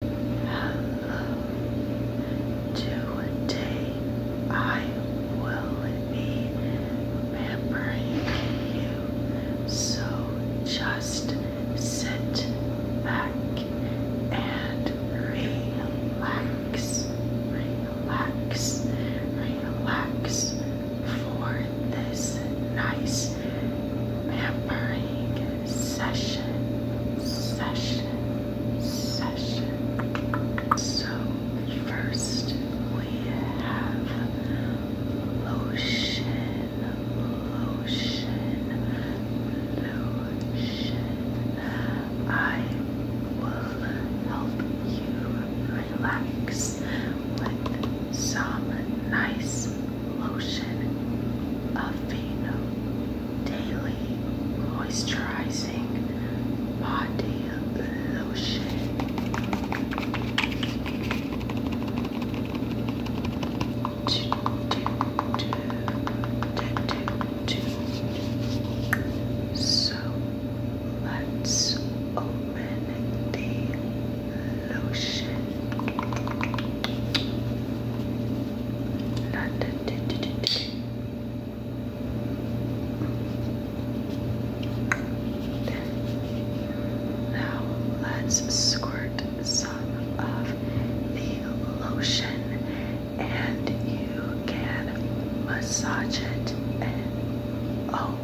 Hello. Today I will be remembering you. So just sit back and relax, relax, relax for this nice pampering session, session, session. So first we have lotion, lotion, lotion. I will help you relax with some nice lotion Aveeno Daily Moisturizing Body Lotion. So let's open the Oh, lotion. Now let's squirt some of the lotion and you can massage it oh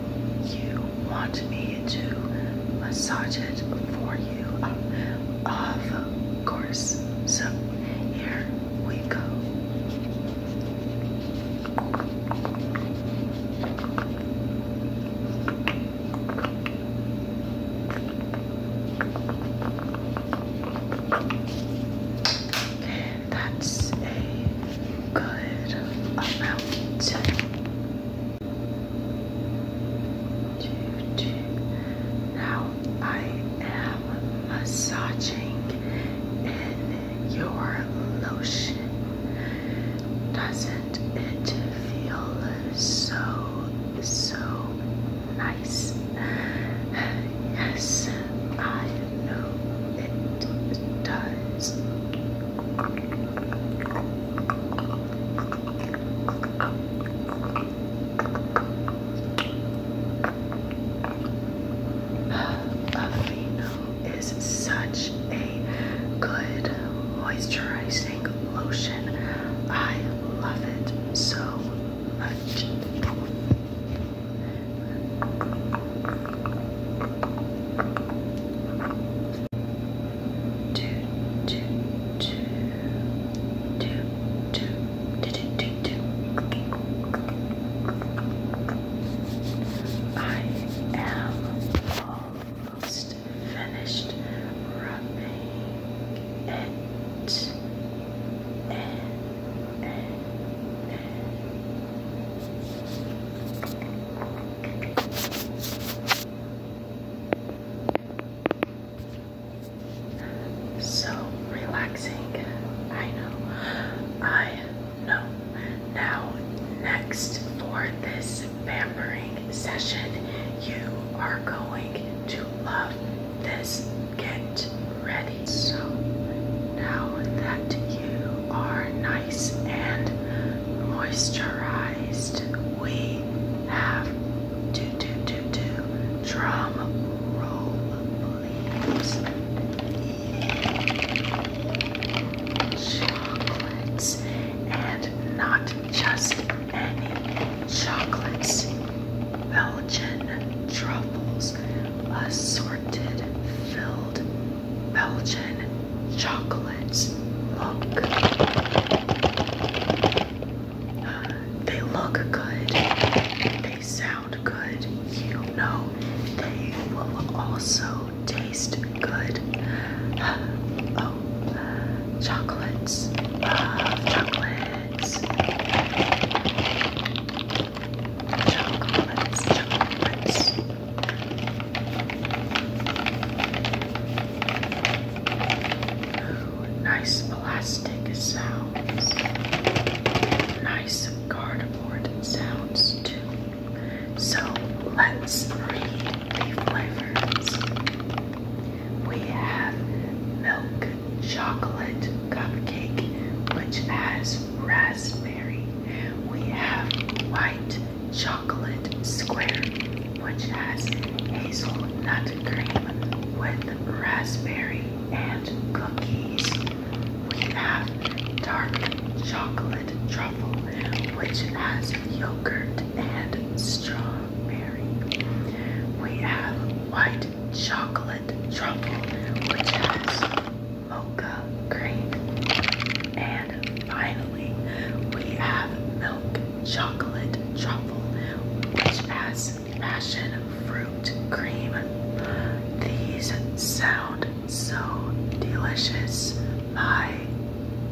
you want me to massage it for you, um, of course. So here we go. That's a good amount two, two. Now I am massaging in your lotion. Doesn't it feel so, so nice? Yes, I know it does. Aveeno is such a good moisturizing lotion. I love it so much. I am almost finished rubbing it so relaxing. I know. I know. Now, next for this pampering session, you are going to love this. Get ready. So now that you are nice and moisturized, we have do do do do drum roll, Chocolates and not just any chocolates, Belgian truffles, assorted, filled Belgian chocolates look. they look good. They sound good. You know they will also taste good. oh, chocolates. Uh, chocolates. Chocolates, chocolates. Ooh, nice plastic sounds. Nice cardboard sounds too. So let's read the flavors. We have milk chocolate cupcake, which has raspberry. We have white chocolate square, which has hazelnut cream with raspberry and cookies. We have dark chocolate truffle, which has yogurt and strawberry. We have white chocolate truffle, which has mocha cream. And finally, we have milk chocolate truffle, which has passion fruit cream. These sound so delicious. My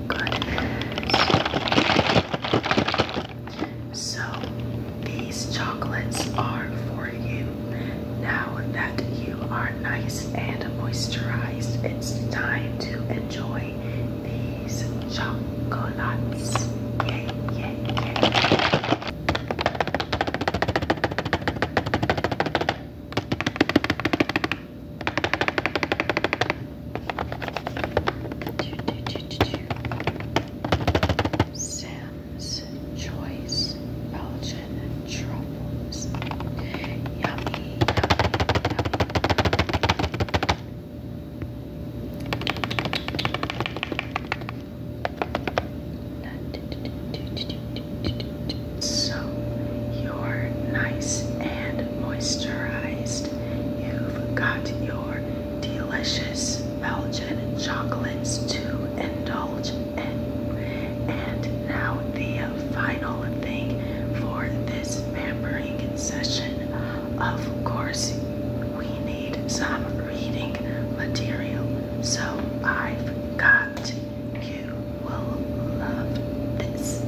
goodness. So, these chocolates are for you now that you are nice and moisturized, it's time to enjoy these chocolate chocolates. Yay, yay, yay. Sam's Choice Belgian truffles. yummy. So you're nice and moisturized. You've got your delicious Belgian chocolates to indulge and, now the final thing for this pampering session. Of course, we need some reading material. So I've got you will love this.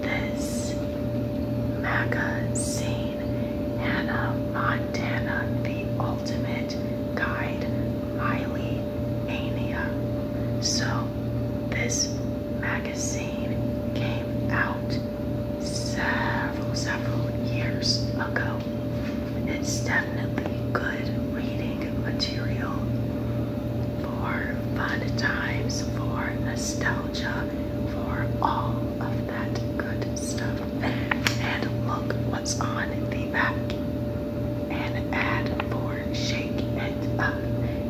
This magazine, Hannah Montana, the ultimate guide, Miley Mania. So, this magazine came out several, several years ago. It's definitely good reading material for fun times, for nostalgia, for all of that good stuff. And look on the back and add four, shake it up.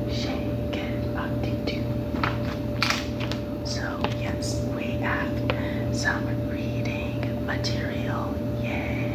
Shake it up into. So yes, we have some reading material. Yay!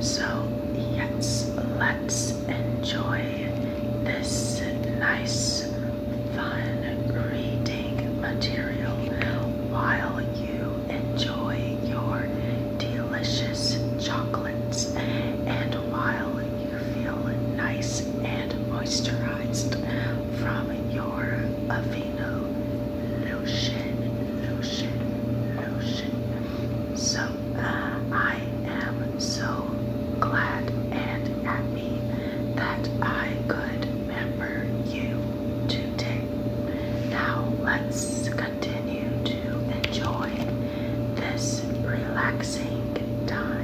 So, yes, let's enjoy this nice, fun reading material while you enjoy your delicious chocolates and while you feel nice and moisturized from your Halo Lotion, Lotion, Lotion. So uh, I am so glad and happy that I could remember you today. Now let's continue to enjoy this relaxing time.